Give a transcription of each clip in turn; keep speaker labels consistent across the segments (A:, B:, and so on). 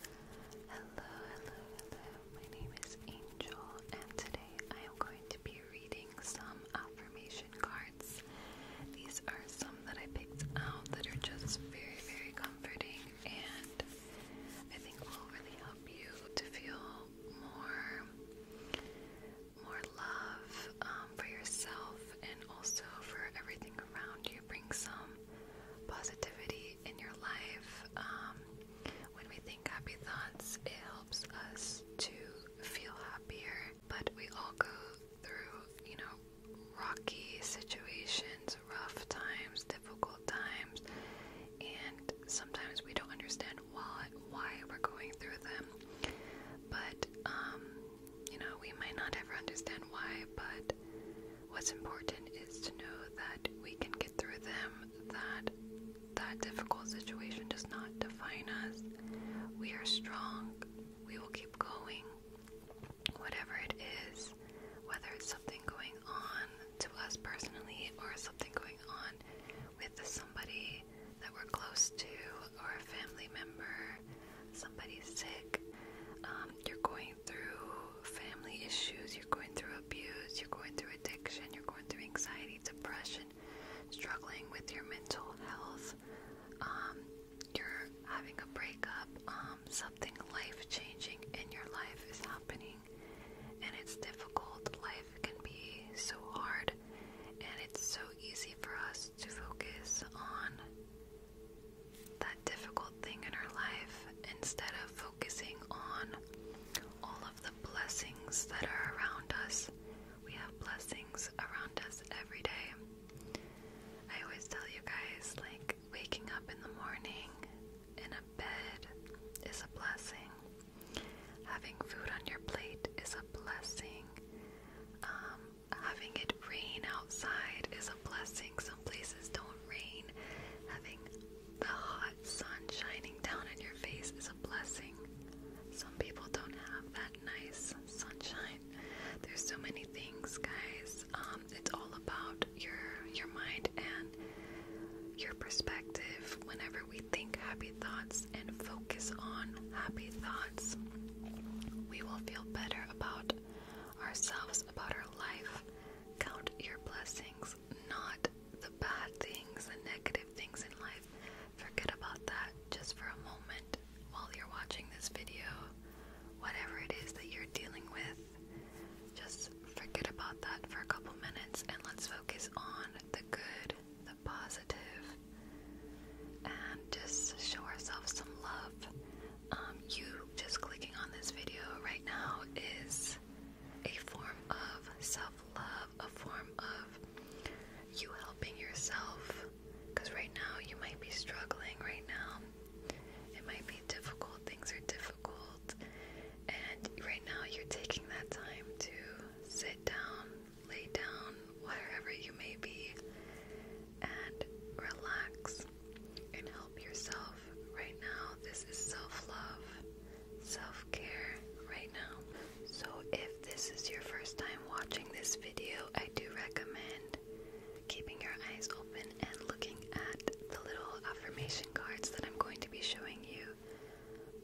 A: Hello, hello, hello. My name is Angel, and today I am going to be reading some affirmation cards. These are some that I picked out that are just very, very comforting, and I think will really help you to feel more, more love um, for yourself and also for everything around you. Bring some positivity in your life. Um, when we think happy thoughts, it helps us to feel happier. But we all go through, you know, rocky situations, rough times, difficult times, and sometimes we don't understand why, why we're going through them. But, um, you know, we might not ever understand why, but What's important is to know that we can get through them, that that difficult situation does not define us. We are strong. We will keep going. Whatever it is, whether it's something going on to us personally or something going on with somebody that we're close to or a family member, somebody sick, um, you're going through family issues, you're going through abuse, you're going through addiction, you're going through anxiety, depression, struggling with your mental health, um, you're having a breakup, um, something life changing in your life is happening, and it's difficult. Life can be so hard, and it's so easy for us to focus on that difficult thing in our life instead of focusing on all of the blessings that are around us. We have blessings around us every day. I always tell you guys, like, waking up in the morning in a bed is a blessing. Having food on your plate is a blessing. Um, having it rain outside is a blessing. Some places don't rain. Having the hot sun shining down on your face is a blessing. Some people don't have that nice sunshine. There's so many things, guys. Um, it's all about your your mind and your perspective. Whenever we think happy thoughts and focus on happy thoughts, we will feel better about ourselves about our life. Count your blessings, not the bad things, the negative things in life. Forget about that just for a moment while you're watching this video. Whatever it is that you're dealing with, just forget about that for a couple minutes and let's focus on the good, the positive, and just show ourselves some love. Um, you just clicking on this video right now is a form of self-love, a form of you helping yourself. Because right now you might be struggling, right now it might be difficult, things are difficult, and right now you're taking that time to sit down, lay down, wherever you may be, and relax and help yourself right now. This is self love, self care right now. So, if this is your first time watching this video, I do recommend keeping your eyes open and looking at the little affirmation cards that I'm going to be showing you.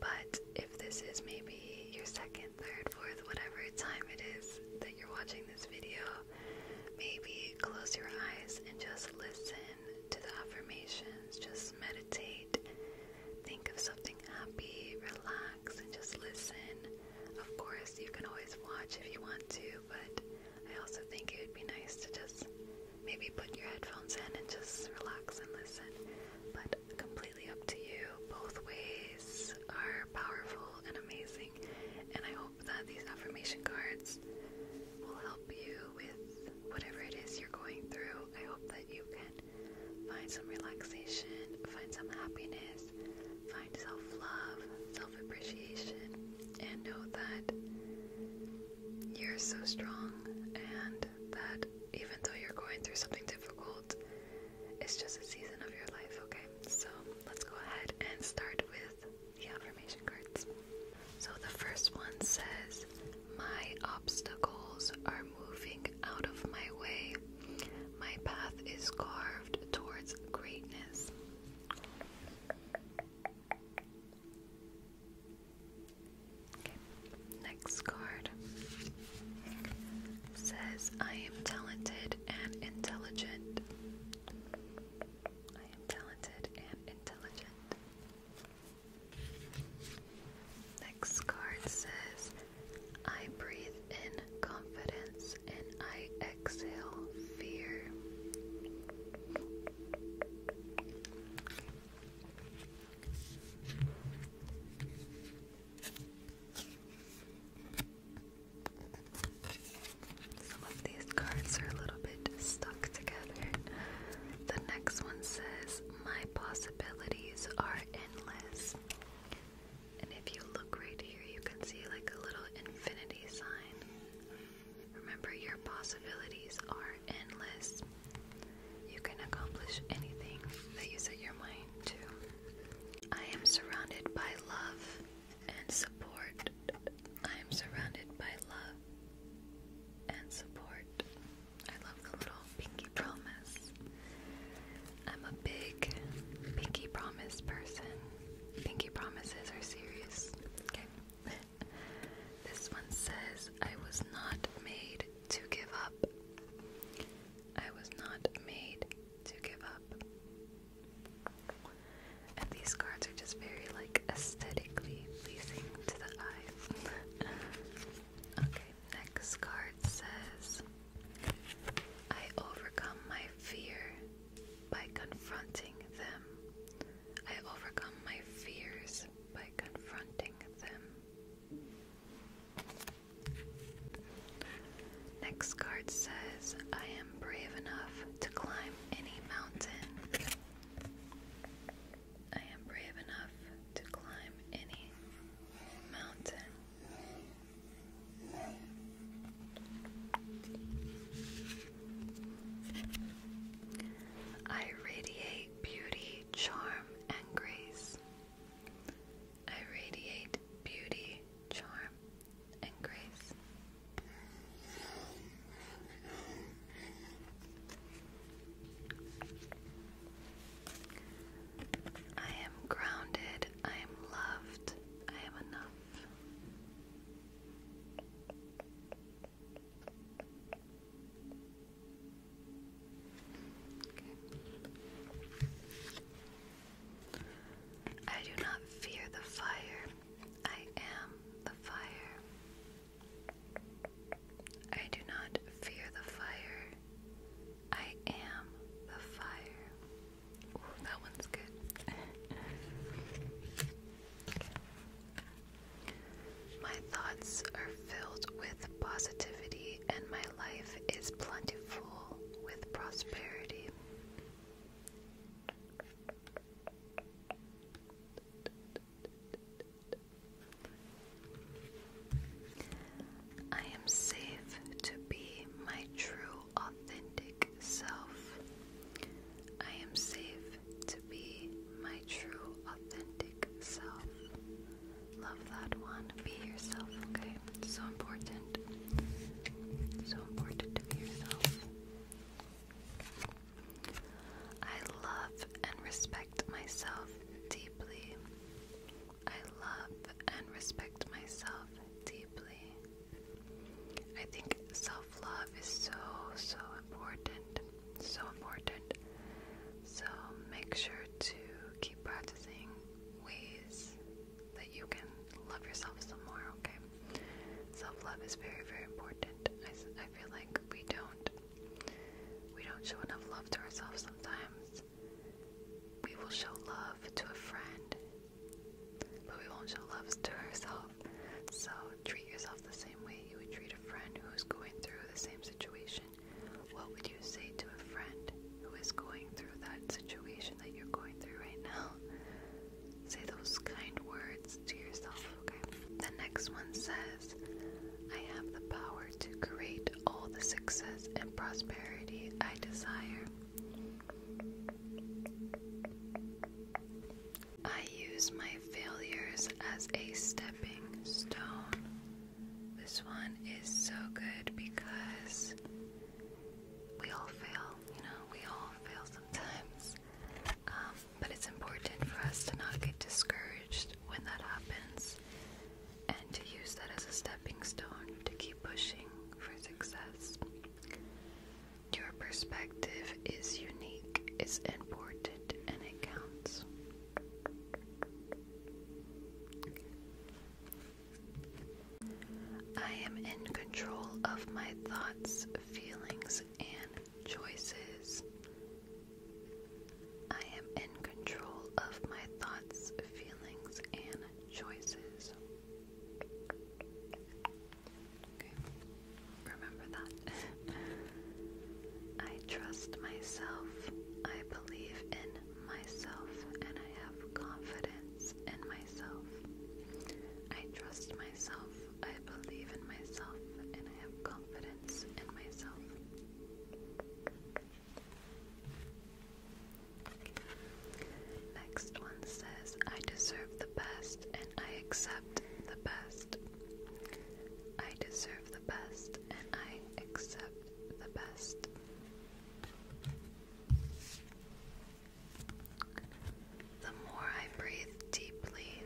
A: But if this is maybe your second, third, fourth, whatever time it is that you're watching this video, maybe close your eyes and just listen to the affirmations. Just meditate. Think of something happy, relax, and just listen. Of course, you can always watch if you want to, but I also think it would be nice to just maybe put your headphones in and just relax and listen. But completely up to you. Both ways are powerful and amazing, and I hope that these affirmation cards will help you with whatever it is you're going through. I hope that you can find some relaxation, find some happiness, find self love, self appreciation, and know that you're so strong and that even though you're going through something difficult, it's just a season of your life, okay? so let's go ahead and start with the affirmation cards. So the first one says, My obstacles are moving out of my way. My path is carved towards greatness. next card says, I am talented and intelligent. I am talented and intelligent. Next card says, I breathe in confidence and I exhale fear. Some of these cards are a little bit stuck together. The next one says, My possibilities are endless. And if you look right here, you can see like a little infinity sign. Remember, your possibilities are endless. You can accomplish anything that you set your mind to. I am surrounded by love and support. I am surrounded by love and support. I love the little pinky promise. I'm a big pinky promise person. Pinky promises are serious. Okay. this one says, I was not made to give up. I was not made to give up. And these cards are just very like aesthetically pleasing to the eye. okay, next card says I overcome my fear by confronting them. I overcome my fears by confronting them. Next card says, I am brave enough to climb any mountain. I am brave enough to climb any mountain. I radiate beauty, charm, and grace. I radiate beauty, charm, and grace. I am grounded, I am loved, I am enough. I do not fear the fire. I am the fire. I do not fear the fire. I am the fire. that one's good. My thoughts are filled with positivity, and my life is plentiful with prosperity. I am safe to be my true, authentic self. I am safe to be my true, authentic self. Love that one. Be yourself, okay? so important. So important to be yourself. I love and respect myself deeply. I love and respect myself deeply. I think self love is so, so important. So important. So make sure to keep practicing ways that you can love yourself some more, okay? Self love is very, very important. I, I feel like we don't we don't show enough love to ourselves sometimes. We will show love to a friend, but we won't show love to ourselves. So treat yourself the same way you would treat a friend who's going through the same situation. What would you say to a friend who is going through that situation that you're going through right now? Say those kind words to yourself, okay? The next one says, I have the power to create all the success and prosperity I desire. I use my failures as a stepping stone. This one is so good because we all fail, you know, we all fail sometimes. Um, but it's important for us to not get discouraged when that happens and to use that as a stepping stone to keep pushing for success. Your perspective is unique, it's important, and it counts. I am in control of my thoughts, feelings, and choices. I am in control of my thoughts, feelings, and choices. remember that. I trust myself. I believe in myself and I have confidence in myself. I trust myself, I believe in myself, and I have confidence in myself. Next one says, I deserve the best and I accept the best. I deserve the best and I accept the best. The more I breathe deeply,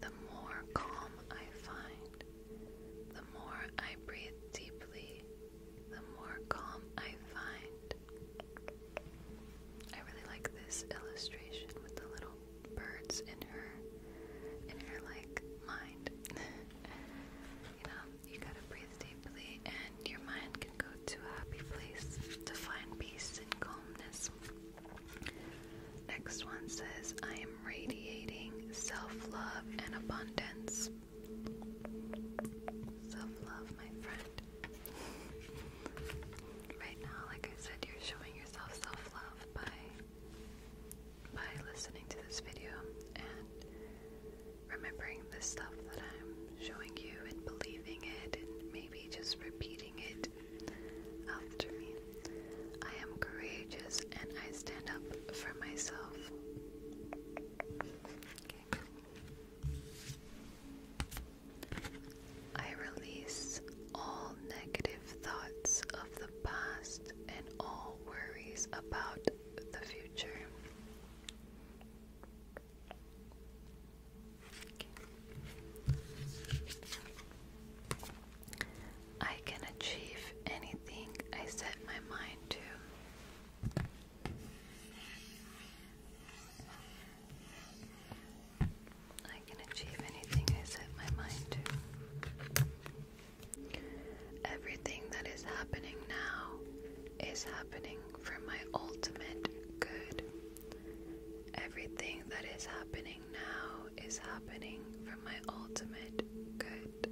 A: the more calm I find. The more I breathe deeply, the more calm I find. I really like this illustration with the little birds in her in her like mind. You know, you gotta breathe deeply, and your mind can go to a happy place to find peace and calmness. Next one says, I am radiating self love and abundance. Self love, my friend. right now, like I said, you're showing yourself self love by by listening to this video and remembering the stuff that I'm showing you and believing it and maybe just repeating it after me. I am courageous and I stand up for myself. I release all negative thoughts of the past and all worries about the future. I can achieve anything I set my mind to. I can achieve anything I set my mind to. Everything that is happening now is happening for my ultimate good. Everything that is happening now is happening for my ultimate good.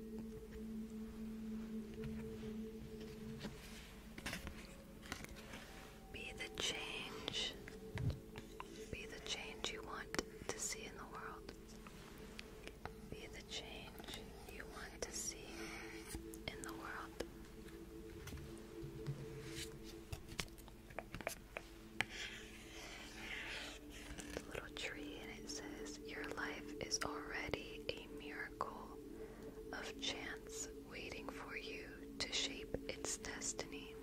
A: Be the change. Be the change you want to see in the world. Be the change you want to see in the world. The little tree, and it says, Your life is already a miracle of chance waiting for you to shape its destiny.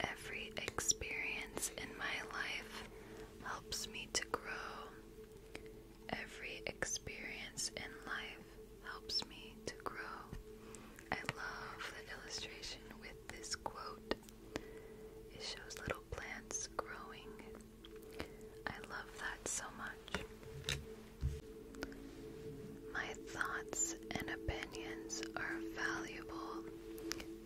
A: Every experience in my life helps me to grow. Every experience in life helps me to grow. I love the illustration with this quote. It shows little plants growing I love that so much. My thoughts and opinions are valuable.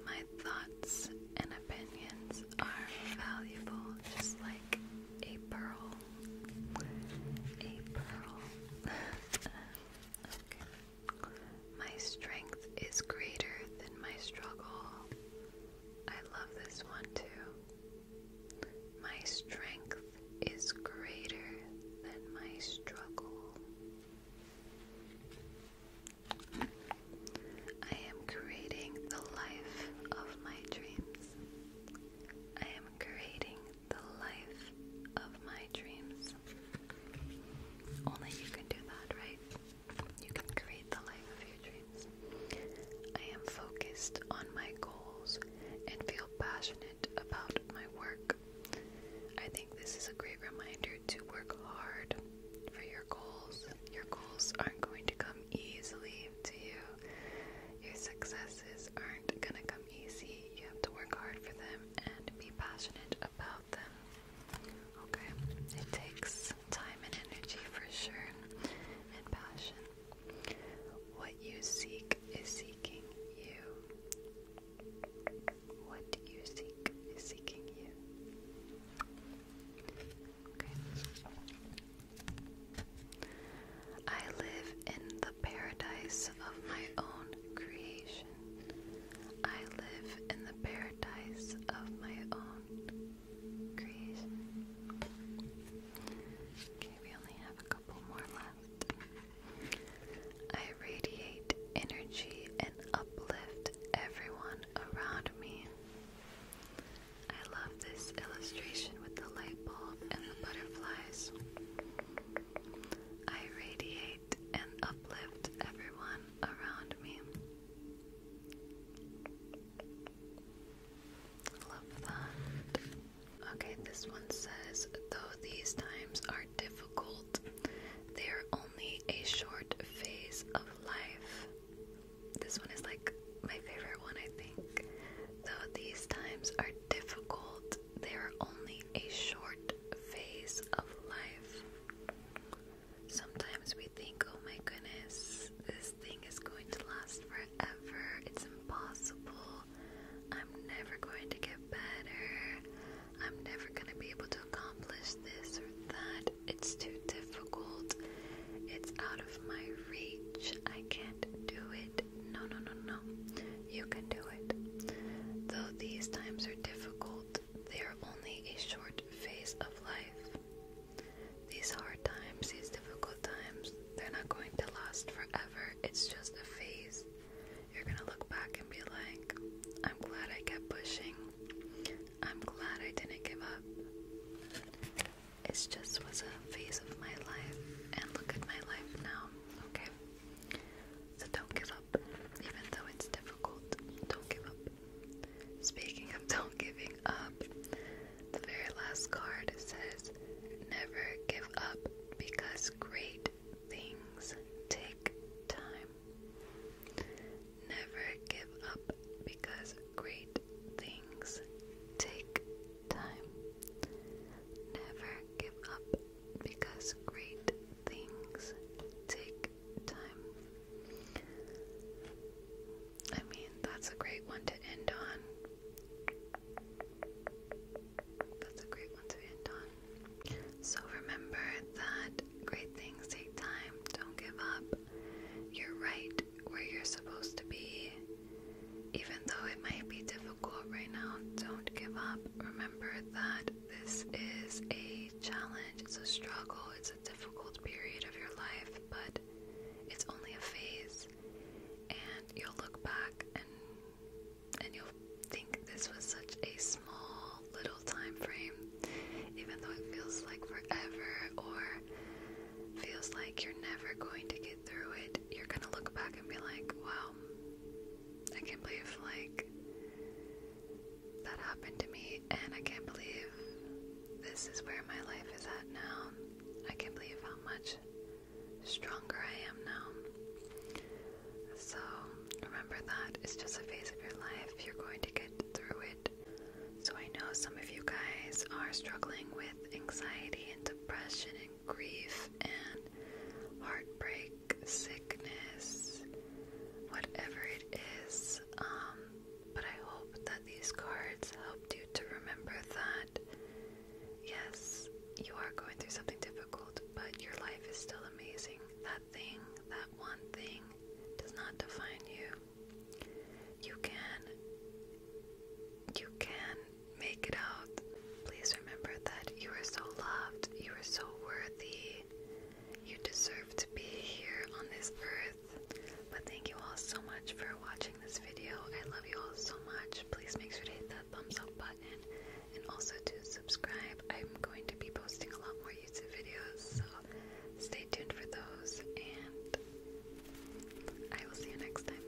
A: My thoughts and opinions are valuable, just like a pearl. A pearl. okay. My strength is greater than my struggle. I love this one too. My strength is greater than my struggle. I am creating the life of my dreams. I am creating the life of my dreams. Only you can do that, right? You can create the life of your dreams. I am focused on my goals and feel passionate about my work. I think this is a great reminder to work hard for your goals. Your goals aren't going to come easily to you. Your successes aren't going to come easy. You have to work hard for them and be passionate about them. Okay, it takes time and energy for sure, and passion. What you seek is seeking you. What you seek is seeking you. Okay. I live in the paradise of my own creation. I live in the paradise of my own I radiate energy and uplift everyone around me. I love this illustration with the light bulb and the butterflies. I radiate and uplift everyone around me. Love that. Okay, this one says, though these times are difficult, they are only a short phase of life. This one is like my favorite one, I think. Though these times are difficult, they are only a short phase of life. Sometimes we think, oh my goodness, this thing is going to last forever. It's impossible. I'm never going to get better. I'm never going to be able to accomplish this or that. It's too difficult. It's out of my reach. I can't do it. No, no, no, no. You can do it. Though these times are difficult, they are only a short phase of life. These hard times, these difficult times, they're not going to last forever. It's just a phase. You're gonna look back and be like, I'm glad I kept pushing. I'm glad I didn't give up. It just was a phase of my life, and look at my life now, okay? So don't give up even though it's difficult. Don't give up. Speaking of don't giving up, the very last card says, Never give up because great things take time. Never give up because great things take time. Never give up because great things take time. I mean, that's a great one to end on. That's a great one to end on. So remember that great things take time. Don't give up. You're right where you're supposed to be. Even though it might be difficult right now, don't give up. Remember that this is a challenge, it's a struggle, it's a difficult period of your life, but it's only a phase. And you'll look back and and you'll think this was such a small little time frame, even though it feels like forever or feels like you're never going to get through it. You're gonna look back and be like, wow, I can't believe like that happened to me, and I can't believe this is where my life is at now. I can't believe how much stronger I am now. So, remember that it's just a phase of your life, you're going to get through it. So, I know some of you guys are struggling with anxiety and depression and grief and heartbreak sickness, whatever it is. Um, but I hope that these cards helped you to remember that yes, you are going through something difficult, but your life is still amazing. That thing, that one thing, does not define you. You can you can make it out. Please remember that you are so loved, you are so worthy, you deserve to be here on this earth. But thank you all so much for watching this video. I love you all so much. Please make sure to hit that thumbs up button and also to subscribe. I'm going to be posting a lot more YouTube videos, so stay tuned for those. And I will see you next time.